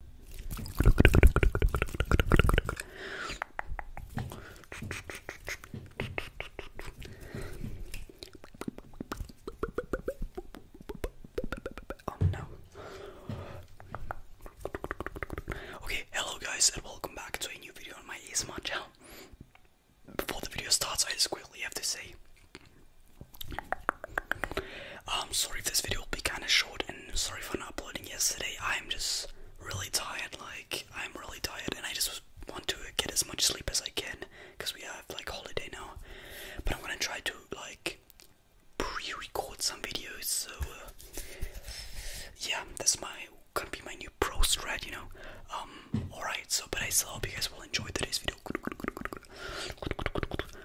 Oh no. Okay, hello guys and welcome back to a new video on my ASMR channel. Before the video starts, I just quickly have to say I'm um, sorry if this video will be kind of short and sorry for not uploading yesterday. I'm just really tired, like, I'm really tired and I just want to get as much sleep as I can because we have like holiday now. But I'm gonna try to like pre record some videos, so yeah, this might going be my new pro strat, you know. Um, alright, so but I still hope you guys will enjoy today's video.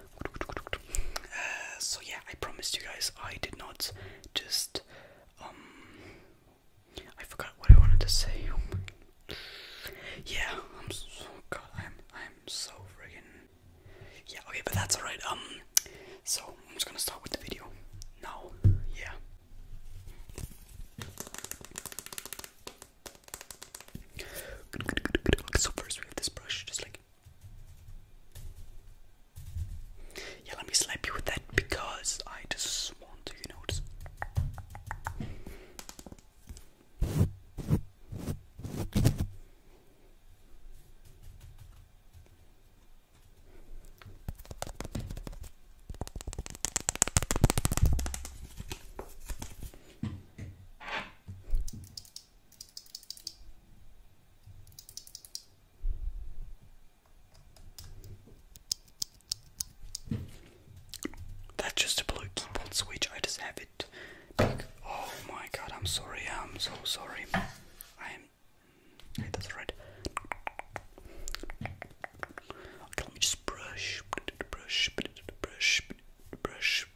Uh, so yeah, I promised you guys I did not just um, I forgot what I wanted to say. Oh yeah, I'm so oh god, I'm I'm so friggin' Yeah, okay, but that's alright. Um so I'm just gonna start with the video now. Yeah. So first we have this brush, just like yeah, let me slap you with that because I just want to, you know. Just... That's just a blue keyboard switch. I just have it. Oh my god! I'm sorry. I'm so sorry. I am. Hey, that's right. Okay, let me just brush, brush, brush, brush,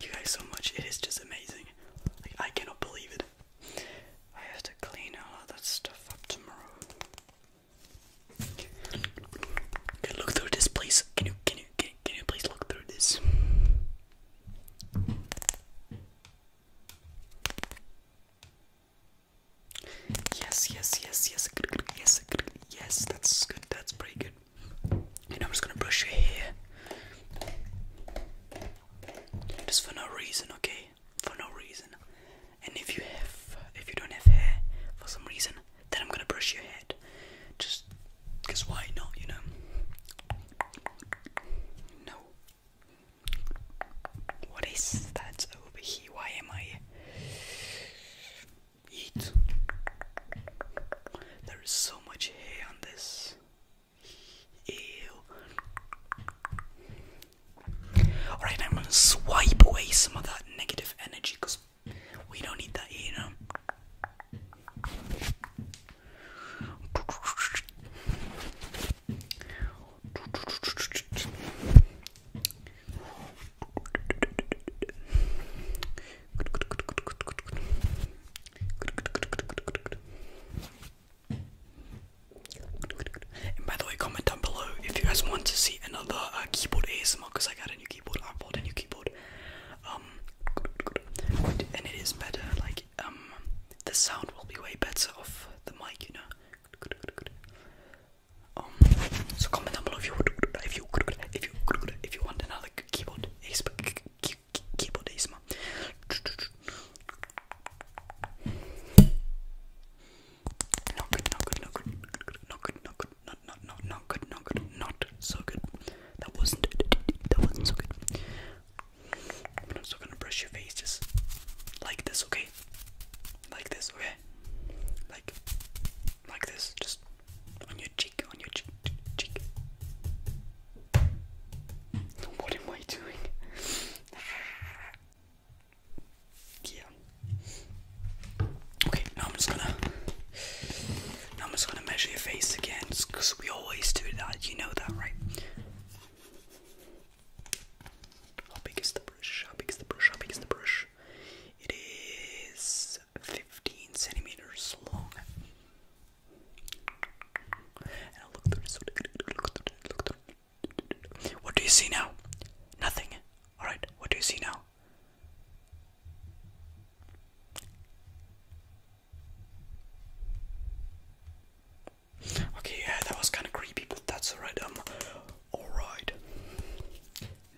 you guys so much. It is just amazing. Like I cannot believe it. I have to clean all of that stuff up tomorrow. Okay, look through this, please. Can you can you can can you please look through this? Yes, yes, yes, yes, yes, yes. That's good. That's pretty good. And I'm just gonna brush your hair. Just for no reason, okay? For no reason. And if you have, if you don't have hair for some reason, then I'm gonna brush your head. Just because why not, you know? No. What is that over here? Why am I. Eat. There is so. Alright, I'm gonna swipe away some of that negative energy because we don't need that here, by the way, comment down below if you guys want to see another uh, keyboard ASMR because I got a new keyboard. I bought a new keyboard. Um, and it is better. Like, um, the sound will be way better off the mic, you know. Um, so comment down below if you if you if you if you want another keyboard keyboardism. Not good, not good, not good, not good, not good, not not not not good, not good, not so good. That wasn't that wasn't so good. I'm also gonna brush your face just like this, okay? Like this, okay? Like like this, just on your cheek, on your cheek, cheek. What am I doing? yeah. Okay, now I'm just gonna. Now I'm just gonna measure your face again, because we always do that. You know that, right? How big is the brush? How big is the brush? How big is the brush? It is 15 centimeters long. What do you see now? Nothing. Alright, what do you see now? Okay, yeah, that was kind of creepy, but that's alright. Um, alright.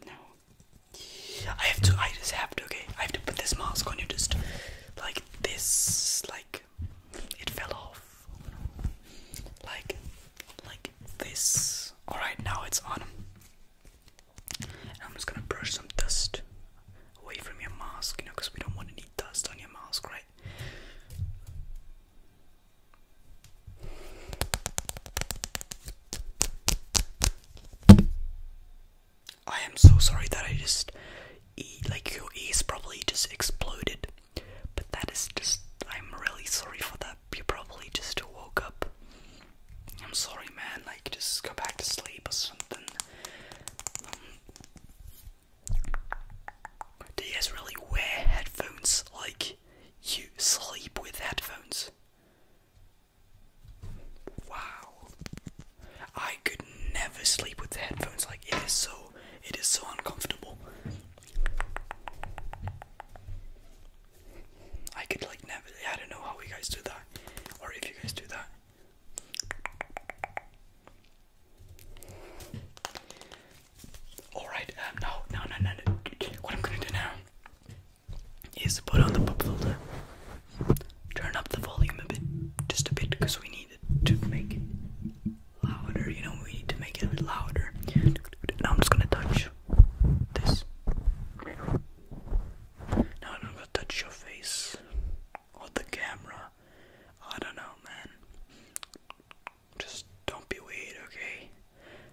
Now, I have to. I just have to. Okay, I have to put this mask on you. Just like this. Like it fell off. Like, like this. All right, now it's on. And I'm just gonna brush some dust away from your mask, you know, because we don't want any dust on your mask, right? I am so sorry that I just, like, your ears probably just exploded. But that is just, I'm really sorry for that. You probably just woke up. I'm sorry, man. Like, just go back to sleep or something. Um, do you guys really wear headphones? Like, you sleep with headphones? Wow. I could never sleep with headphones like this. so it is so uncomfortable. I could like never I don't know how you guys do that or if you guys do that. Alright, um, now, now, now, now, what i gonna do now is put on the pop filter, turn up the volume a bit, just a bit, because we need it to make it louder. You know, we need to make it a bit louder. Now I'm just gonna touch this. Now I'm gonna touch your face or the camera. I don't know, man just don't be weird, okay?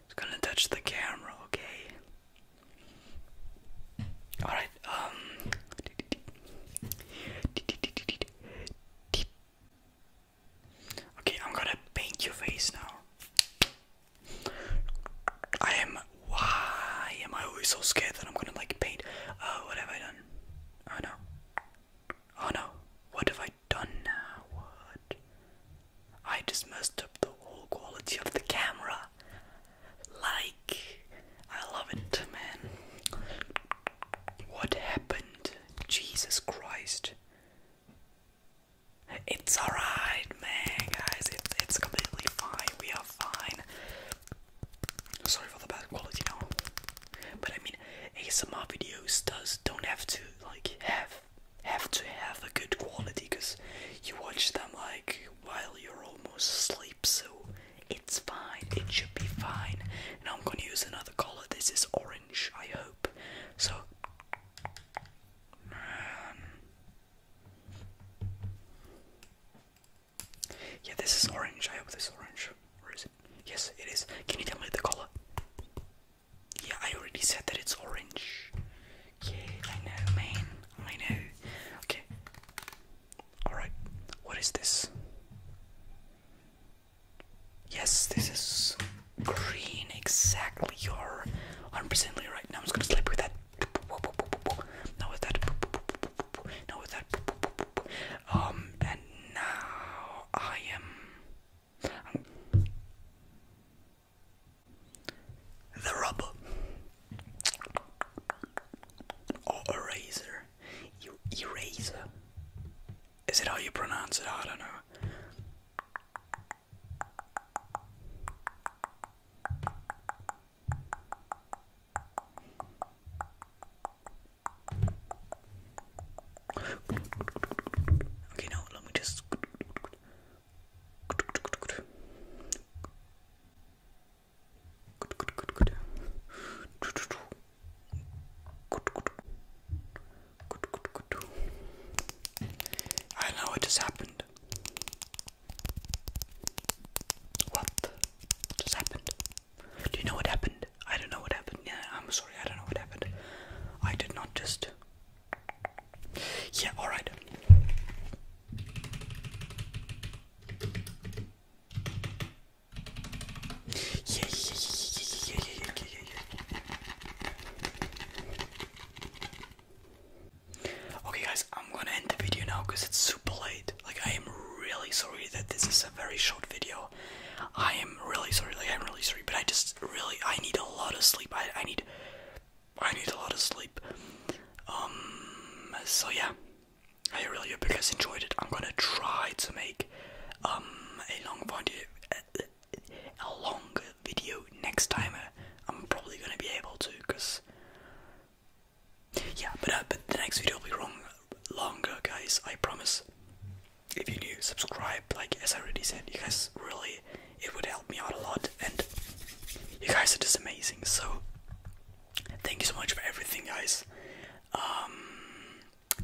It's gonna touch the camera, okay? Alright, um. Okay, I'm gonna paint your face now. I am. Why am I always so scared that I'm gonna like paint? Oh, what have I done? Oh no. Oh no. What have I done now? What? I just messed up the whole quality of the camera. Like, I love it, man. What happened? Jesus Christ. It's alright, man, guys. It's, it's completely fine. We are fine. Sorry for the bad quality now. But I mean, ASMR videos does don't have to like have have to have a good quality because you watch them like while you're almost asleep, so it's fine. It should be fine. And I'm gonna use another color. This is orange, I hope. So. Um, yeah, this is orange. I hope this is orange. Where is it? Yes, it is. Can you tell me the color? Yeah, I already said that it's orange. Yeah, I know, man. I know. Okay. Alright, what is this? Yes, this is green. Exactly. You're 100% right. Now I'm just gonna sleep with that. Now with that. Now with that. Um, and now I am. The rubber or eraser, eraser. Is it how you pronounce it? I don't know. Okay, now let me just. I know what just happened. What just happened? Do you know what happened? I don't know what happened. Yeah, I'm sorry, I don't know what happened. I did not just. Yeah, alright. Yeah, yeah, yeah, yeah, yeah, yeah, yeah, yeah, yeah. Okay, guys, I'm gonna end the video now because it's super late. Like, I am really sorry that this is a very short video. I am really sorry, like I'm really sorry, but I just really I need a lot of sleep. I I need I need a lot of sleep. Um so yeah. I really hope you guys enjoyed it. I'm gonna try to make um a long video a long video next time. I'm probably gonna be able to, cause yeah. But uh, but the next video will be long, longer, guys. I promise if you do subscribe, like as I already said, you guys really it would help me out a lot, and you guys are just amazing. So thank you so much for everything, guys. Um,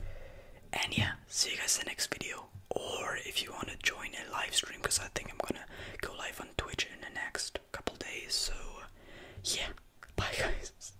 and yeah, see you guys in the next video. Or if you want to join a live stream, because I think I'm gonna go live on Twitch in the next couple days. So yeah, bye guys.